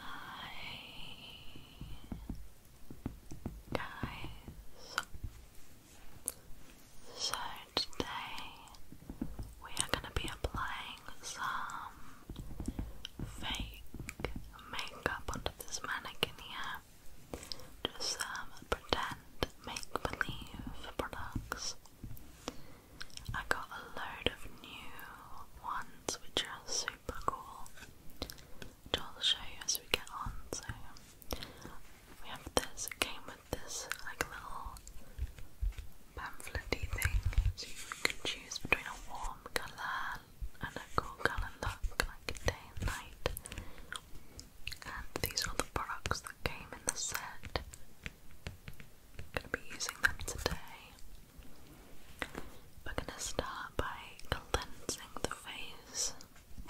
Hi guys. So today we are going to be applying some fake makeup onto this mannequin here. Just some pretend make-believe products. I got a load of new ones which are so super cool which I'll show you as we get on so we have this, it came with this like little pamphlet thing so you can choose between a warm colour and a cool colour look like day night and these are the products that came in the set I'm gonna be using them today we're going to start by cleansing the face.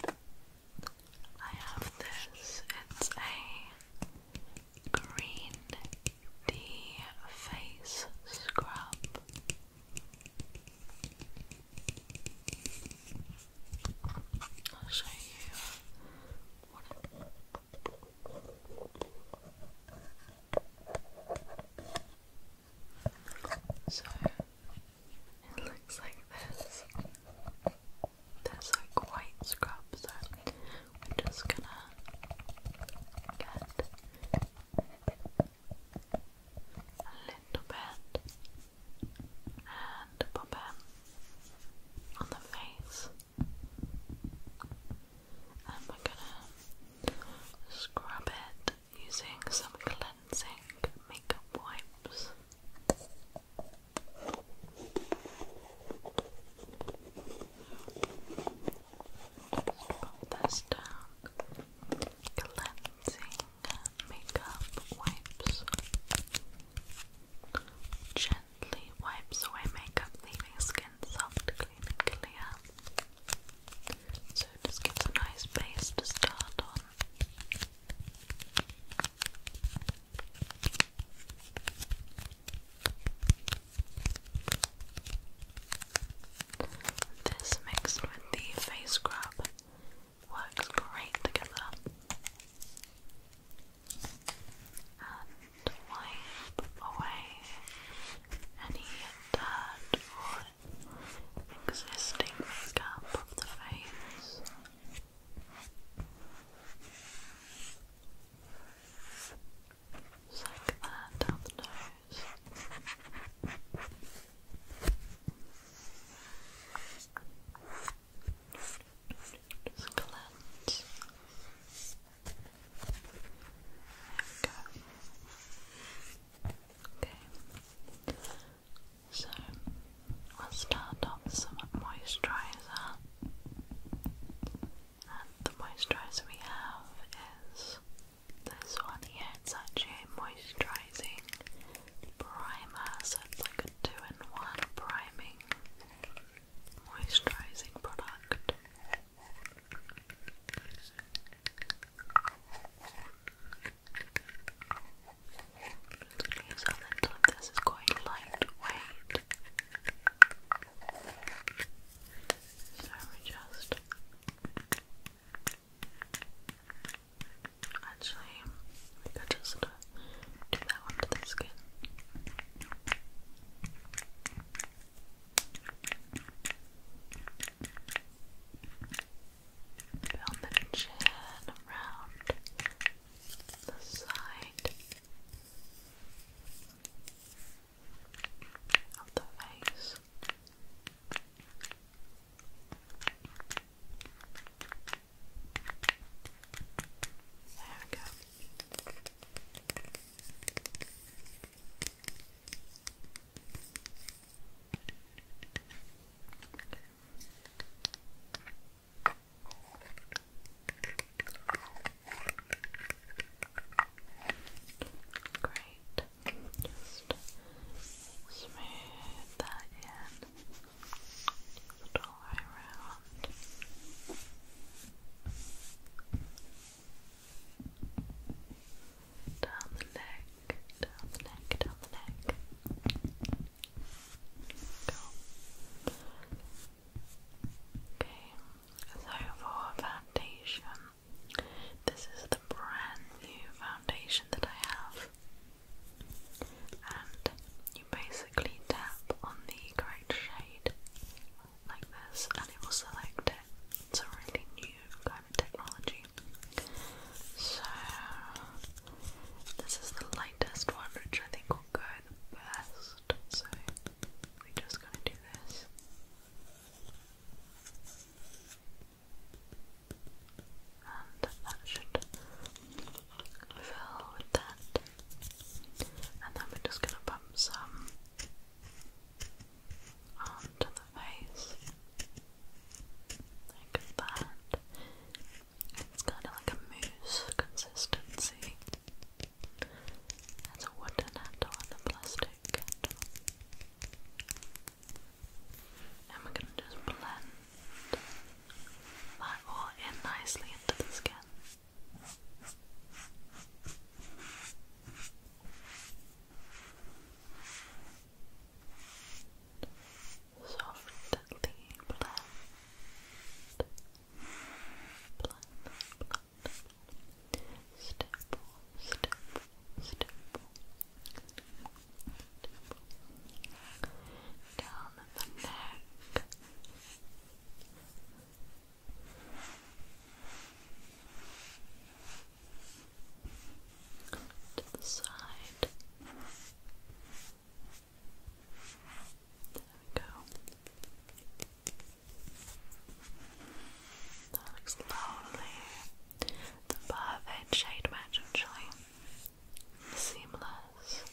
I have this, it's a green tea face scrub. I'll show you so it looks like this. There's like white scrub, so we're just gonna get a little bit and pop it on the face and we gonna scrub it using some cleansing makeup wipes. Just put this down. Cleansing makeup wipes. Gently wipes away makeup, leaving skin soft, clear, so just gives a nice base to start on. This mixed with the face scrub works great together. And wipe away any dirt or existing makeup of the face. Suck that the nose. Just cleanse there Okay. So we'll start off with some moisturizer. And the moisturizer we have is this one here. It's actually moisturizing primer, so it's like a two in one priming moisturizing product. Use a this, is quite lightweight. So we just actually we just uh, do that onto the skin. Down the chin, around the side of the face. There we go. Great. Just smooth that in. all the way around down the neck, down the neck, down the neck. Okay, so for foundation, this is the brand new foundation that I have, and you basically tap on the correct shade like this and it will select It's a really new kind of technology. So this is the lightest one which I think will go the best. So we're just gonna do this. And that should fill with that. And then we're just gonna pump some onto the face like that. It's kind of like a mousse consistency. There's a wooden handle and a plastic handle. And we're going to just blend that all in nicely into the skin. Softly blend, blend, blend, stipple, stipple, stipple, down the neck, to the side. There we go. That looks lovely. The perfect shade match actually. Seamless.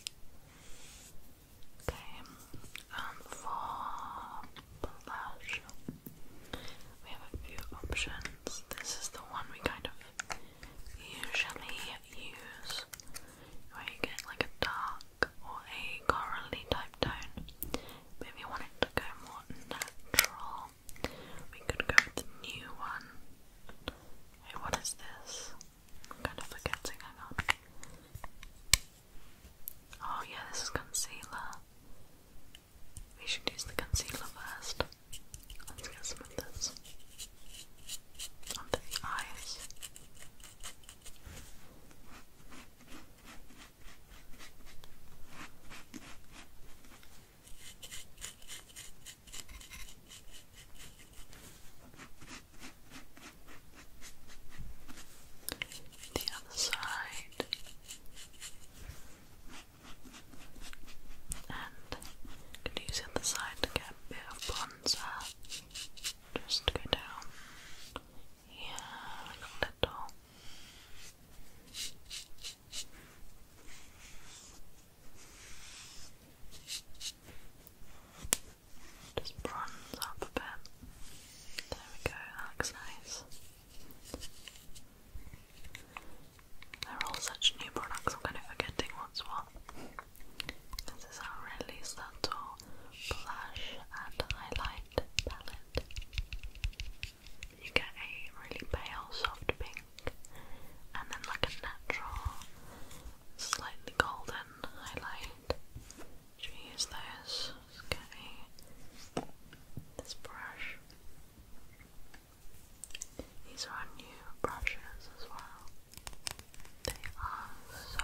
Okay. And um, for blush. We have a few options. This is the one we kind of usually use, where you get like a dark or a corally type tone. if you want it to go more natural, we could go with the new one. Wait, what is this? I'm kind of forgetting, hang on. Oh, yeah, this is concealer. We should use the concealer first. Let's get some of this under the eyes the other side and you the side to get a bit of bronzer just go down yeah, a little just bronze up a bit. There we go, looks nice. They're all such new products, I'm kind of forgetting what's what. This is our really subtle blush and highlight palette. You get a really pale, soft pink, and then like a natural, slightly golden highlight, should those? Just this brush. These are our new brushes as well. They are so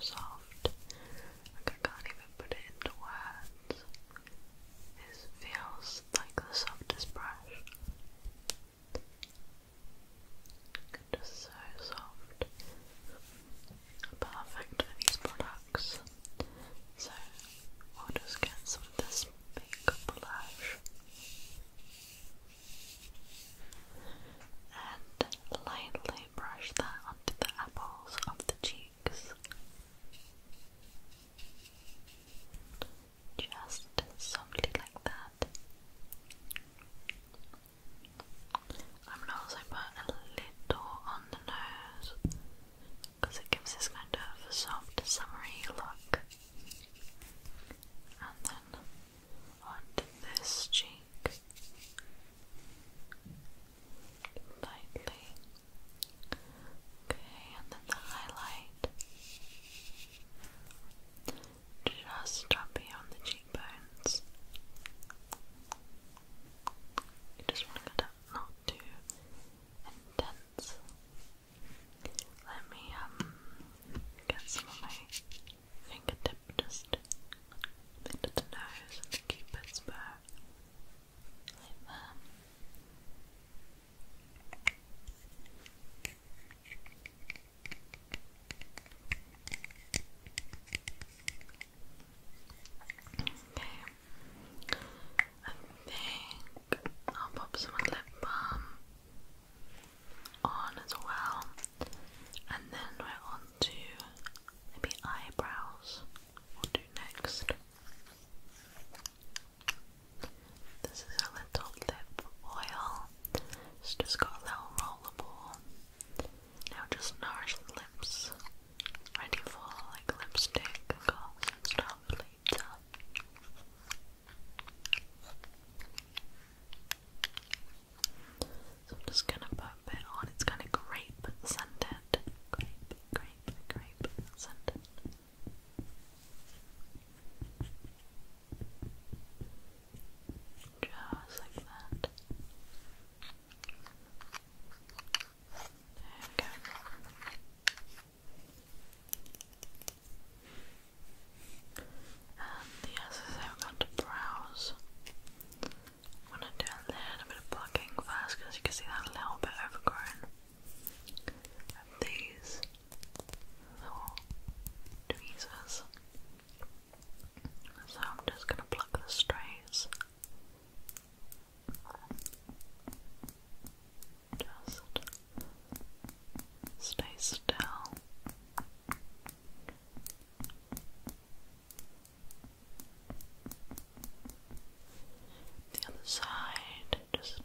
soft. I can't even put it into words. This feels like the softest brush. Just so soft perfect for these products. So we'll just get some of this big blush and lightly brush that onto the apples of the cheeks. Just softly like that. I'm gonna also put a little on the nose because it gives this kind of soft, summery look. And then on this cheek, lightly. Okay, and then the highlight. Just drop beyond the cheekbones. You just want it not too intense. Let me um, get some of my fingertip just into the nose and the cupid's bow. Okay. I think I'll pop some lip balm on as well. And then we're on to maybe eyebrows. we do next. This is a little lip oil. It's just got a little rollerball. Now just nourish the lips ready for like lipstick gloss and stuff later. So I'm just gonna put it on. It's kind of grape scented, grape, grape, grape scented. Just like that. There we go. And yes, as i to browse, I'm going to do a little bit of plucking first because you can see that a little bit overgrown. these little tweezers. So I'm just going to pluck the strays just stay still. The other side, just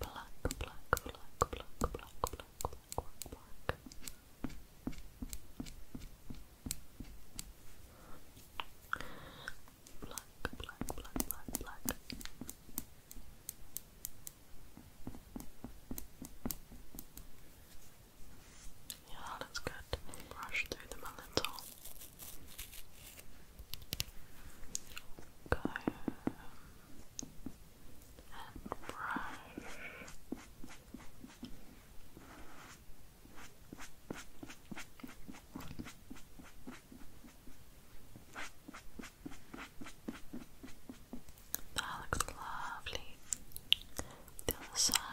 Black, black, black, black, black, black, black, black. Black, black, black, Yeah, that's good. Brush through them a Go and brush. That looks lovely. The other side.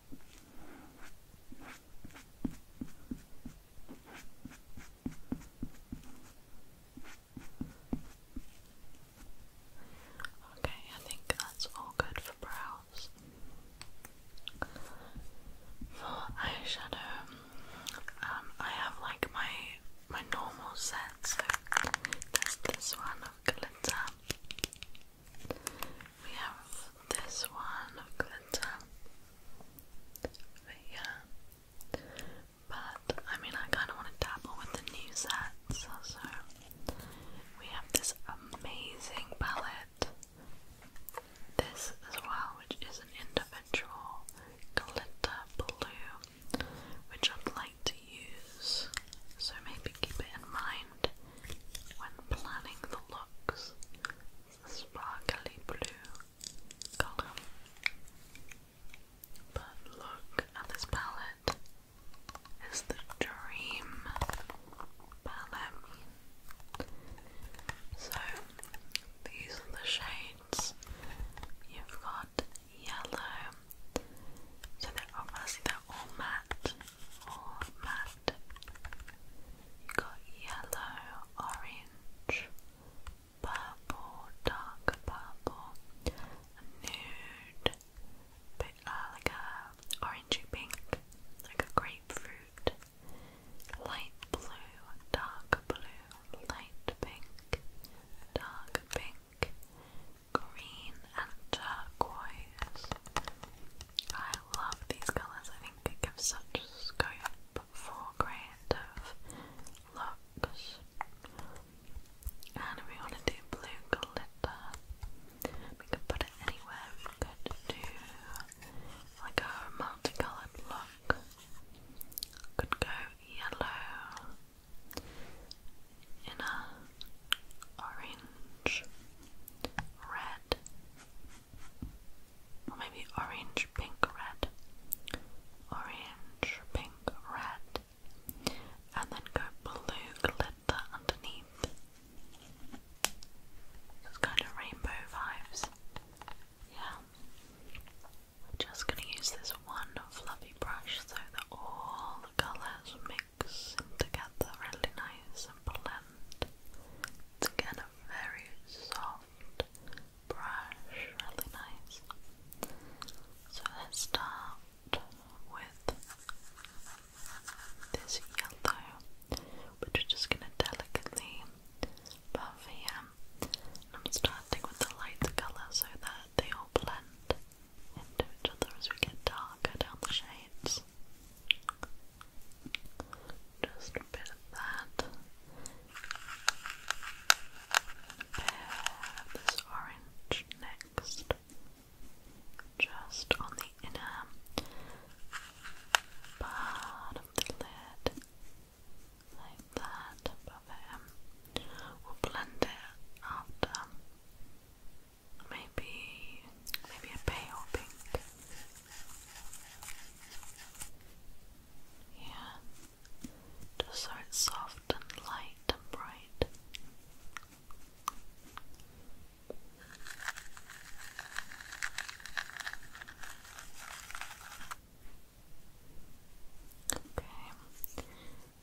Okay, I think that's all good for brows. For eyeshadow, um, I have like my my normal set. So there's this one of glitter, we have this one of glitter. But yeah. But I mean I kinda wanna dabble with the new sets also. We have this amazing palette. This as well, which is an individual glitter blue, which I'd like to use. So maybe keep it in mind when planning the looks the sparkly blue colour. But look at this palette. It's the dream palette. So these are the shades. You've got yellow. So obviously they're all matte. All matte you got yellow, orange, purple, dark purple, nude, bit uh, like a orangey pink, like a grapefruit, light blue, dark blue, light pink, dark pink, green and turquoise, I love these colours. I think they give such scope for of looks. And we want to do blue glitter, we could put it anywhere. We could do like a multicoloured look. Could go yellow in a orange, red, or maybe orange, pink, red, orange, pink, red, and then go blue glitter underneath. It's kind of rainbow vibes. Yeah. just gonna use this one fluffy brush so that all the colours mix seem together really nice and blend. It's again a very soft brush, really nice. So let's start with this yellow, which we're just going to delicately buff here. I'm starting with the lighter colour so that they all blend into each other as we get darker down the shades else. Just a bit of that. Pair this orange next, just on the inner part of the lid, like that. Above it, we'll blend it after maybe maybe a pale pink. Yeah. Just so it's soft and light and bright. Okay.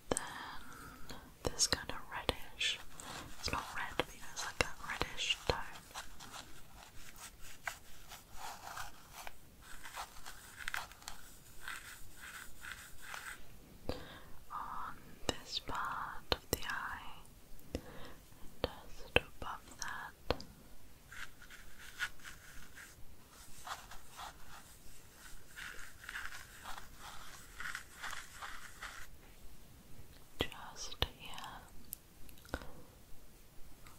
Then this kind of reddish, it's not red, but you know, it's like a reddish tone. On this part of the eye, and just above that just yeah.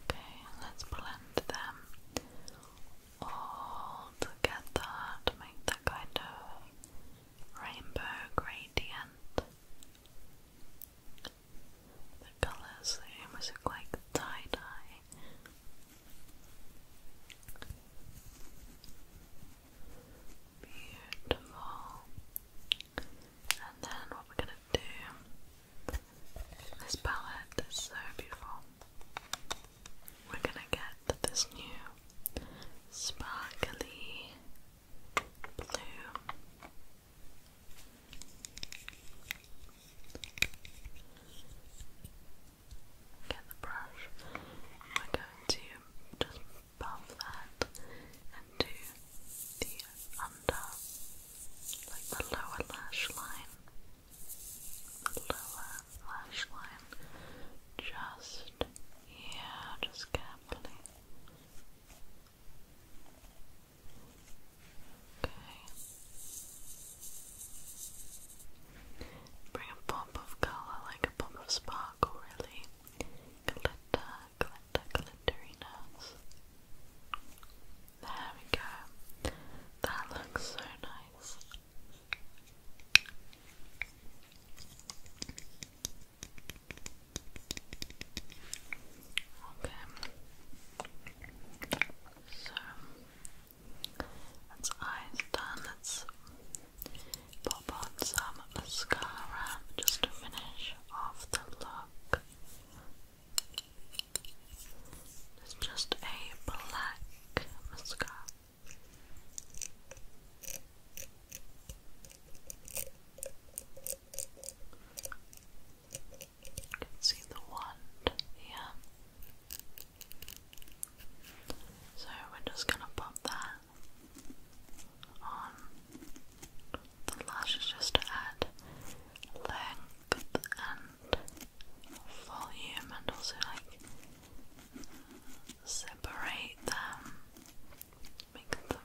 Okay, let's blend them all together to make that kind of rainbow gradient. The colours almost look like tie-dye. Beautiful. And then what we're gonna do this palette is so beautiful. We're gonna get this new sparkly blue. Get the brush. We're going to just above that and to the under, like the lower lash line. The lower lash line just here, just carefully. Okay. Bring a pop of colour, like a pop of sparkle, really. Glitter, glitter, glitterinas. There we go. That looks so nice. Okay. So that's eyes done. let pop on some mascara just to finish off the look. It's just a black mascara. You can see the wand here. So we're just gonna pop that on um, the lashes just to add length and volume and also like separate them, make them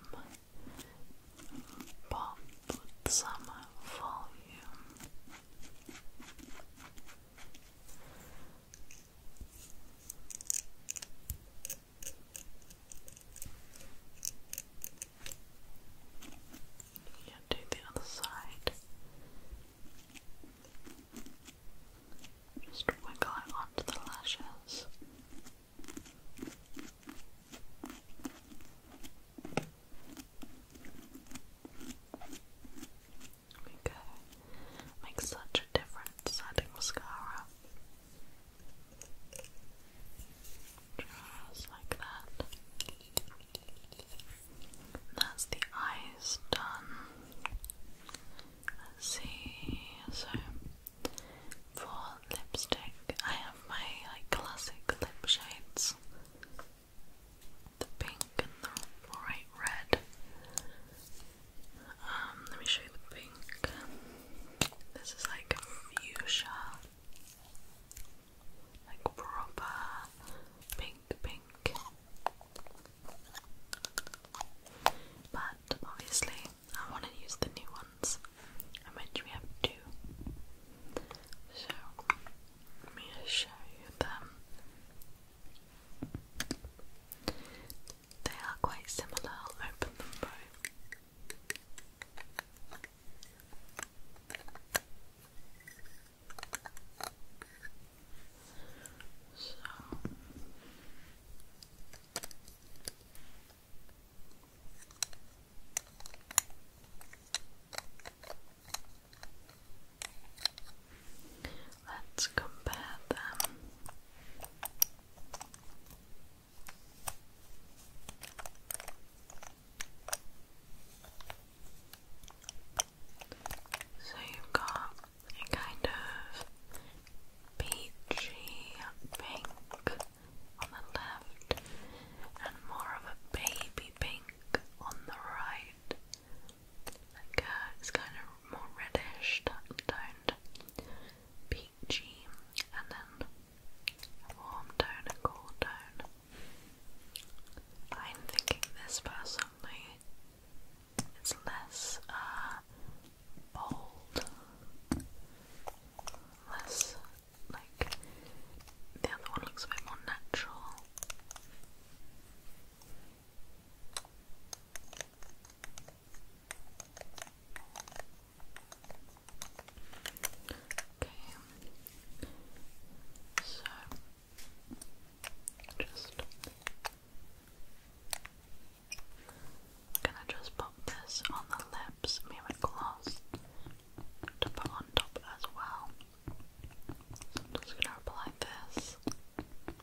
pop with some volume. Yeah, do the other side. Just wiggle onto the lashes. There we go. Makes such a difference adding mascara. Just like that. That's the eyes done. Let's see. So for lipstick, I have my like classic lip shades. The pink and the bright red. Um, let me show you the pink. This is like fuchsia. Like proper pink pink. But obviously I want to use the new ones. I mentioned we have two. So let me show you them. They are quite similar. I'll open them both. So Let's compare them. So you've got a kind of peachy pink on the left and more of a baby pink on the right. Like a, uh, it's kind of more reddish toned peachy, and then warm tone, cool tone. I'm thinking this personally is less uh, bold, less like the other one looks a bit more natural. Okay. So just gonna just pop this on the lips, me and my gloss to put on top as well. just gonna apply this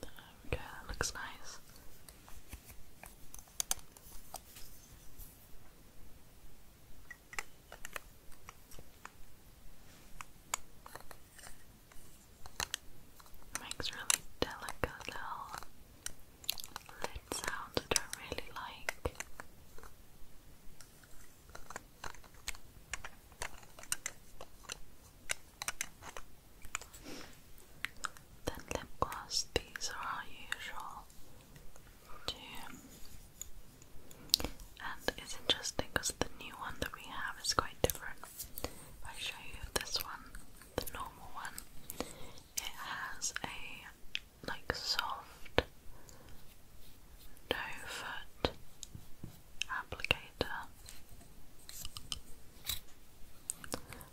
There that looks nice. Makes really delicate little lid sounds I don't really like. Then lip gloss, these are our usual two. And it's interesting because the new one that we have is quite different. If I show you this one, the normal one, it has a like soft doe foot applicator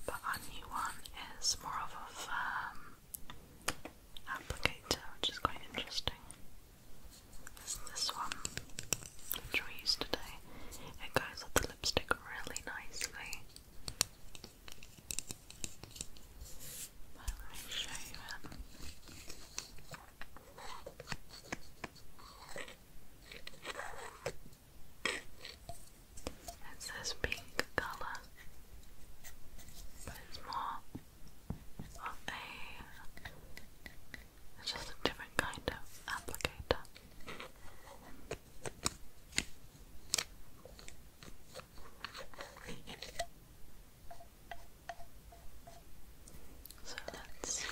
but our new one is more of a applicator, which is quite interesting. this one, which we used today. It goes with the lipstick really nicely. let me show you it. It's this pink colour, but it's more of a. It's just a different kind of applicator. So let's get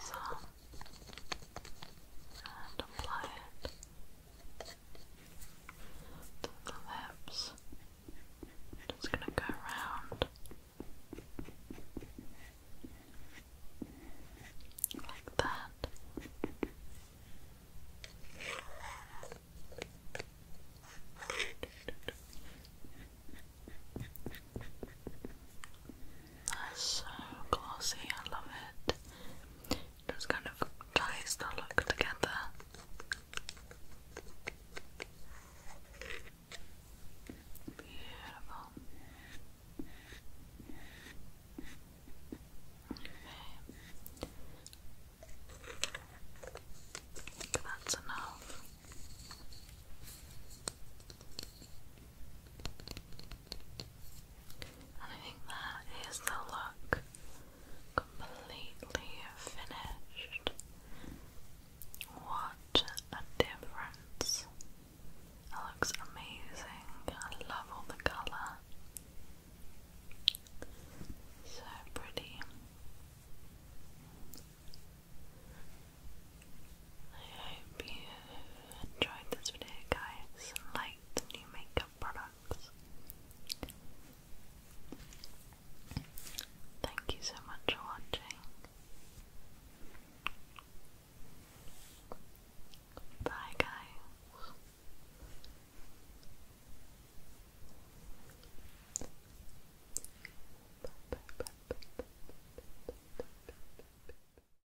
some and apply it to the lips. Just gonna go around like that. That's so glossy, I love it. it just kind of ties the look together. Beautiful. Okay. That's enough. And I think that is the look completely finished. What a difference! It looks amazing. I love all the colour. So pretty. I enjoyed this video, guys, and new makeup products. Thank you so much for watching. Bye, guys.